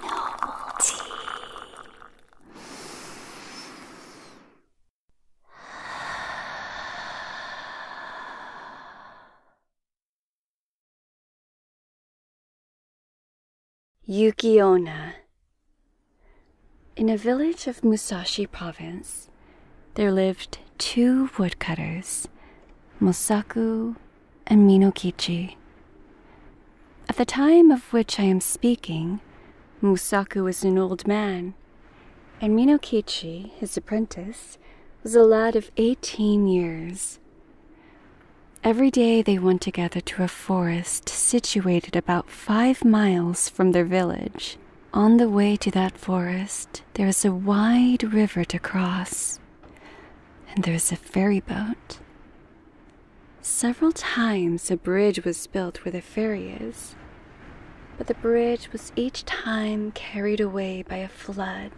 Noble tea. Yukiona. In a village of Musashi province, there lived two woodcutters, Musaku and Minokichi. At the time of which I am speaking, Musaku was an old man, and Minokichi, his apprentice, was a lad of eighteen years. Every day they went together to a forest situated about five miles from their village. On the way to that forest, there is a wide river to cross and there is a ferry boat. Several times a bridge was built where the ferry is, but the bridge was each time carried away by a flood.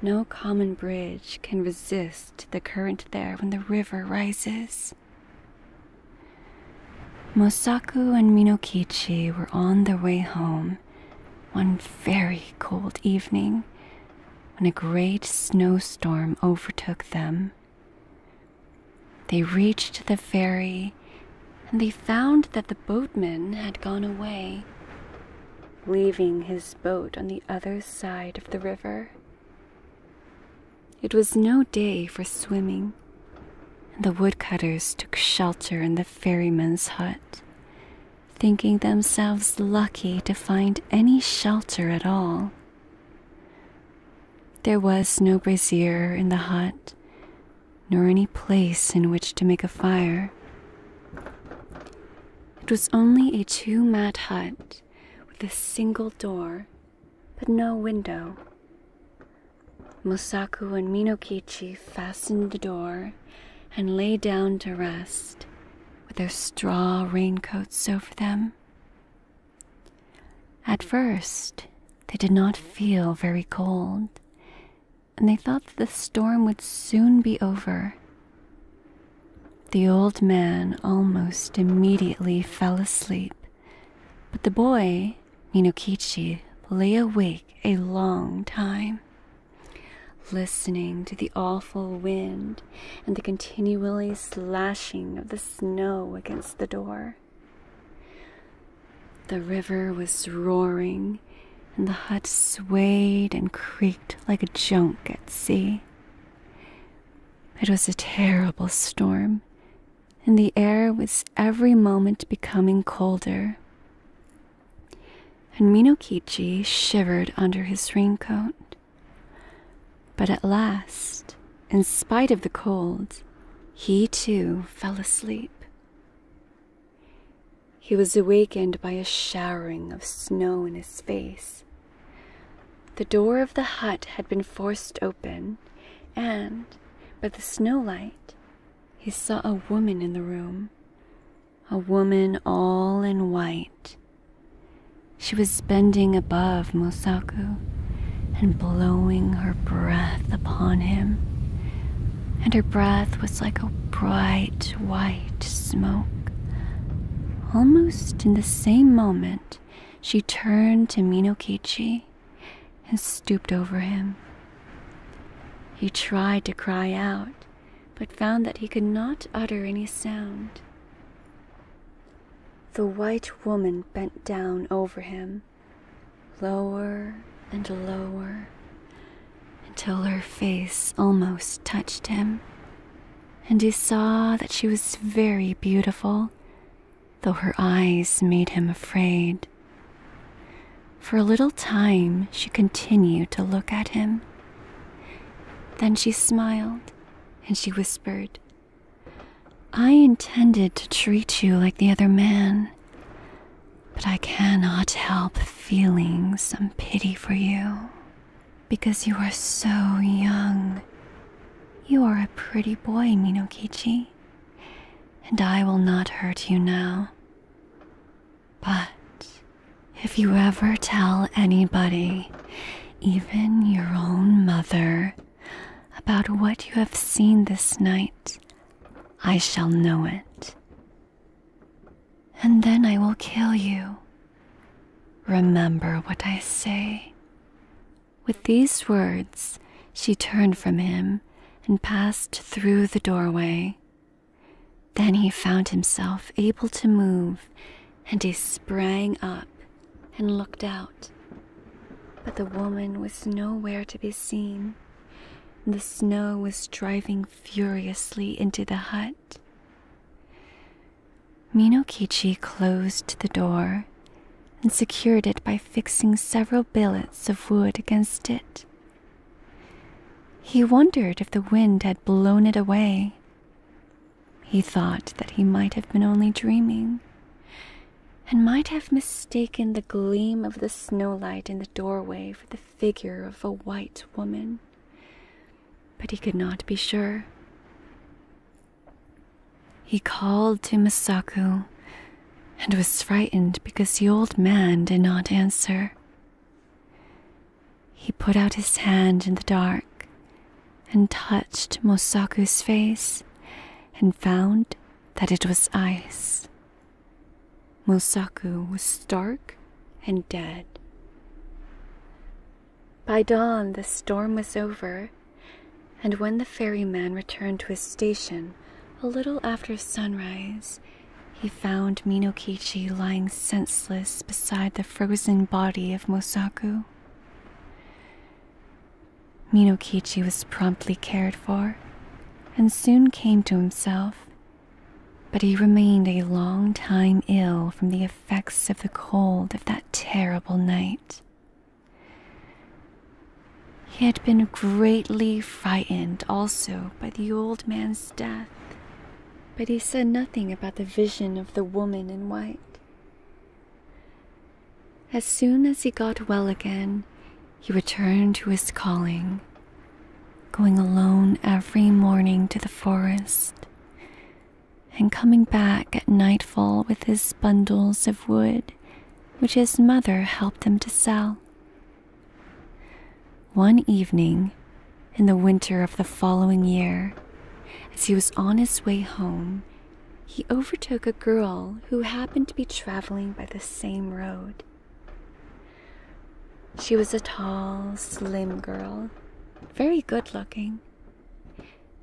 No common bridge can resist the current there when the river rises. Mosaku and Minokichi were on their way home one very cold evening when a great snowstorm overtook them. They reached the ferry and they found that the boatman had gone away, leaving his boat on the other side of the river. It was no day for swimming, and the woodcutters took shelter in the ferryman's hut thinking themselves lucky to find any shelter at all. There was no brazier in the hut, nor any place in which to make a fire. It was only a two mat hut with a single door, but no window. Mosaku and Minokichi fastened the door and lay down to rest with their straw raincoats over them. At first, they did not feel very cold, and they thought that the storm would soon be over. The old man almost immediately fell asleep, but the boy, Minokichi, lay awake a long time listening to the awful wind and the continually slashing of the snow against the door. The river was roaring, and the hut swayed and creaked like a junk at sea. It was a terrible storm, and the air was every moment becoming colder and Minokichi shivered under his raincoat. But at last, in spite of the cold, he too fell asleep. He was awakened by a showering of snow in his face. The door of the hut had been forced open, and by the snowlight he saw a woman in the room, a woman all in white. She was bending above Mosaku and blowing her breath upon him, and her breath was like a bright white smoke. Almost in the same moment, she turned to Minokichi and stooped over him. He tried to cry out, but found that he could not utter any sound. The white woman bent down over him, lower and lower, until her face almost touched him, and he saw that she was very beautiful, though her eyes made him afraid. For a little time, she continued to look at him. Then she smiled and she whispered, I intended to treat you like the other man, but I cannot help feeling some pity for you because you are so young. You are a pretty boy, Minokichi, and I will not hurt you now. But if you ever tell anybody, even your own mother, about what you have seen this night, I shall know it. And then I will kill you. Remember what I say. With these words, she turned from him and passed through the doorway. Then he found himself able to move, and he sprang up and looked out. But the woman was nowhere to be seen. The snow was driving furiously into the hut. Minokichi closed the door and secured it by fixing several billets of wood against it. He wondered if the wind had blown it away. He thought that he might have been only dreaming, and might have mistaken the gleam of the snowlight in the doorway for the figure of a white woman. But he could not be sure. He called to Masaku, and was frightened because the old man did not answer. He put out his hand in the dark and touched Mosaku's face and found that it was ice. Mosaku was stark and dead. By dawn, the storm was over, and when the ferryman returned to his station a little after sunrise, he found Minokichi lying senseless beside the frozen body of Mosaku. Minokichi was promptly cared for and soon came to himself, but he remained a long time ill from the effects of the cold of that terrible night. He had been greatly frightened also by the old man's death, but he said nothing about the vision of the woman in white. As soon as he got well again, he returned to his calling, going alone every morning to the forest and coming back at nightfall with his bundles of wood, which his mother helped him to sell. One evening, in the winter of the following year, as he was on his way home, he overtook a girl who happened to be traveling by the same road. She was a tall, slim girl, very good looking,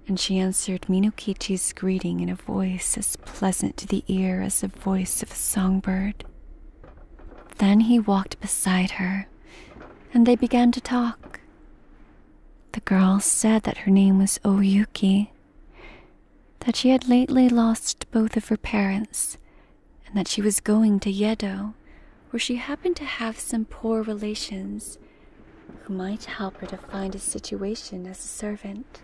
and she answered Minokichi's greeting in a voice as pleasant to the ear as of voice of a songbird. Then he walked beside her, and they began to talk. The girl said that her name was Oyuki, that she had lately lost both of her parents, and that she was going to Yedo, where she happened to have some poor relations who might help her to find a situation as a servant.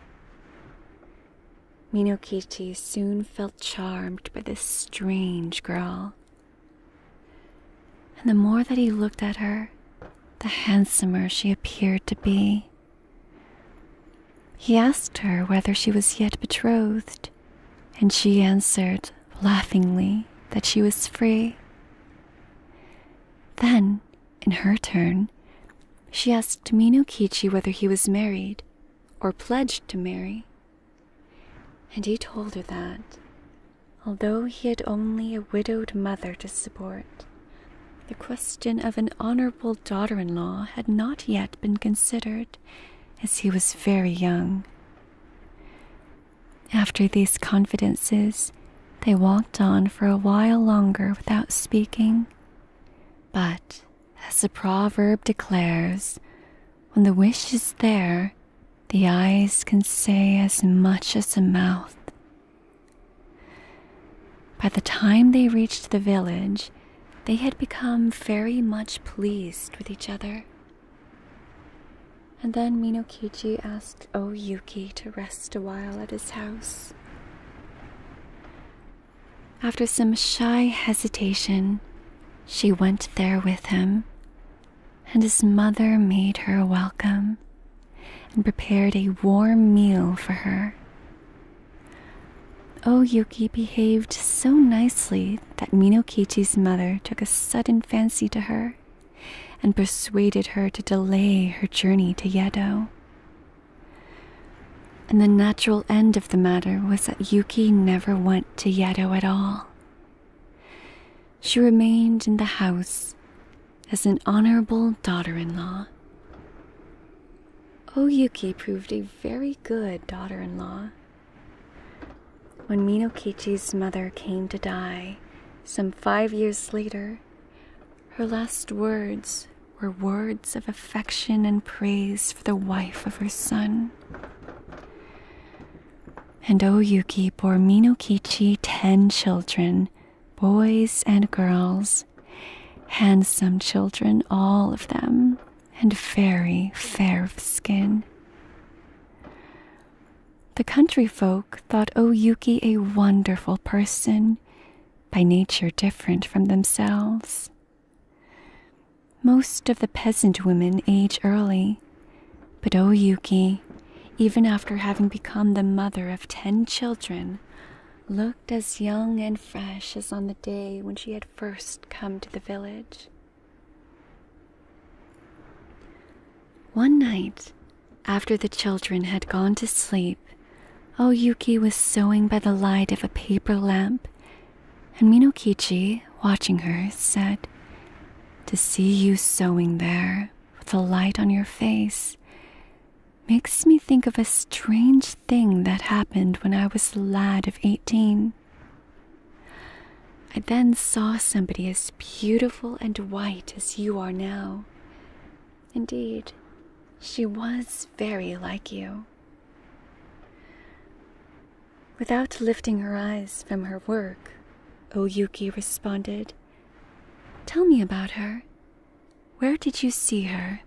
Minokichi soon felt charmed by this strange girl. And the more that he looked at her, the handsomer she appeared to be. He asked her whether she was yet betrothed, and she answered laughingly that she was free. Then, in her turn, she asked Minokichi whether he was married or pledged to marry. And he told her that, although he had only a widowed mother to support, the question of an honorable daughter in law had not yet been considered, as he was very young. After these confidences, they walked on for a while longer without speaking. But as the proverb declares, when the wish is there, the eyes can say as much as the mouth. By the time they reached the village, they had become very much pleased with each other. And then Minokichi asked O Yuki to rest a while at his house. After some shy hesitation, she went there with him, and his mother made her welcome and prepared a warm meal for her. O oh, Yuki behaved so nicely that Minokichi's mother took a sudden fancy to her and persuaded her to delay her journey to Yedo. And the natural end of the matter was that Yuki never went to Yedo at all. She remained in the house as an honorable daughter in law. O oh, Yuki proved a very good daughter in law. When Minokichi's mother came to die, some five years later, her last words were words of affection and praise for the wife of her son. And O Yuki bore Minokichi ten children, boys and girls, handsome children, all of them, and very fair of skin. The country folk thought O Yuki a wonderful person, by nature different from themselves. Most of the peasant women age early, but O Yuki, even after having become the mother of ten children, looked as young and fresh as on the day when she had first come to the village. One night, after the children had gone to sleep, sleep, O oh, Yuki was sewing by the light of a paper lamp, and Minokichi, watching her, said, To see you sewing there, with the light on your face, makes me think of a strange thing that happened when I was a lad of eighteen. I then saw somebody as beautiful and white as you are now. Indeed, she was very like you. Without lifting her eyes from her work, Oyuki responded, Tell me about her. Where did you see her?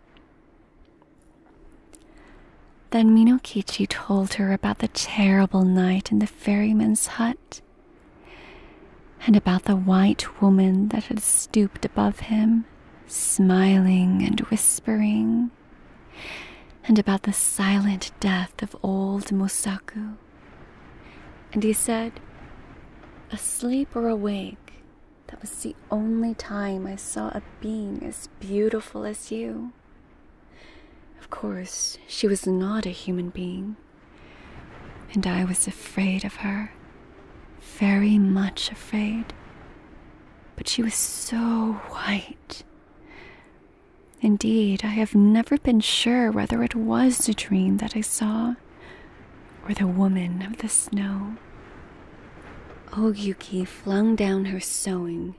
Then Minokichi told her about the terrible night in the ferryman's hut and about the white woman that had stooped above him smiling and whispering, and about the silent death of old Musaku. And he said, Asleep or awake, that was the only time I saw a being as beautiful as you. Of course, she was not a human being, and I was afraid of her very much afraid. But she was so white. Indeed, I have never been sure whether it was a dream that I saw or the woman of the snow. O oh, Yuki flung down her sewing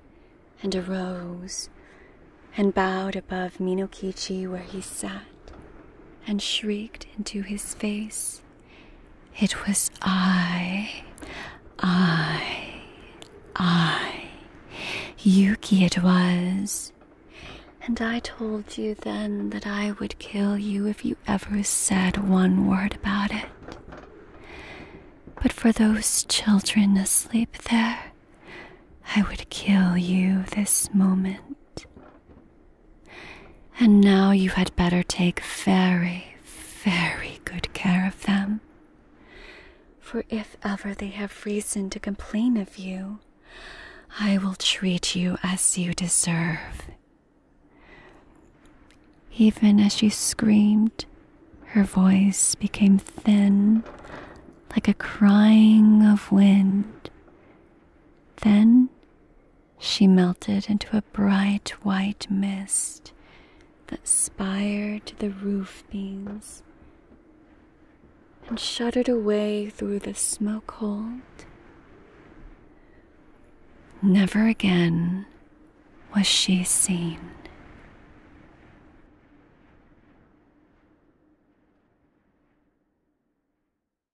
and arose and bowed above Minokichi where he sat and shrieked into his face. It was I, I, I. Yuki it was. And I told you then that I would kill you if you ever said one word about it. But for those children asleep there, I would kill you this moment. And now you had better take very, very good care of them. For if ever they have reason to complain of you, I will treat you as you deserve. Even as she screamed, her voice became thin, like a crying of wind. Then she melted into a bright white mist that spired to the roof beams and shuddered away through the smoke hold. Never again was she seen.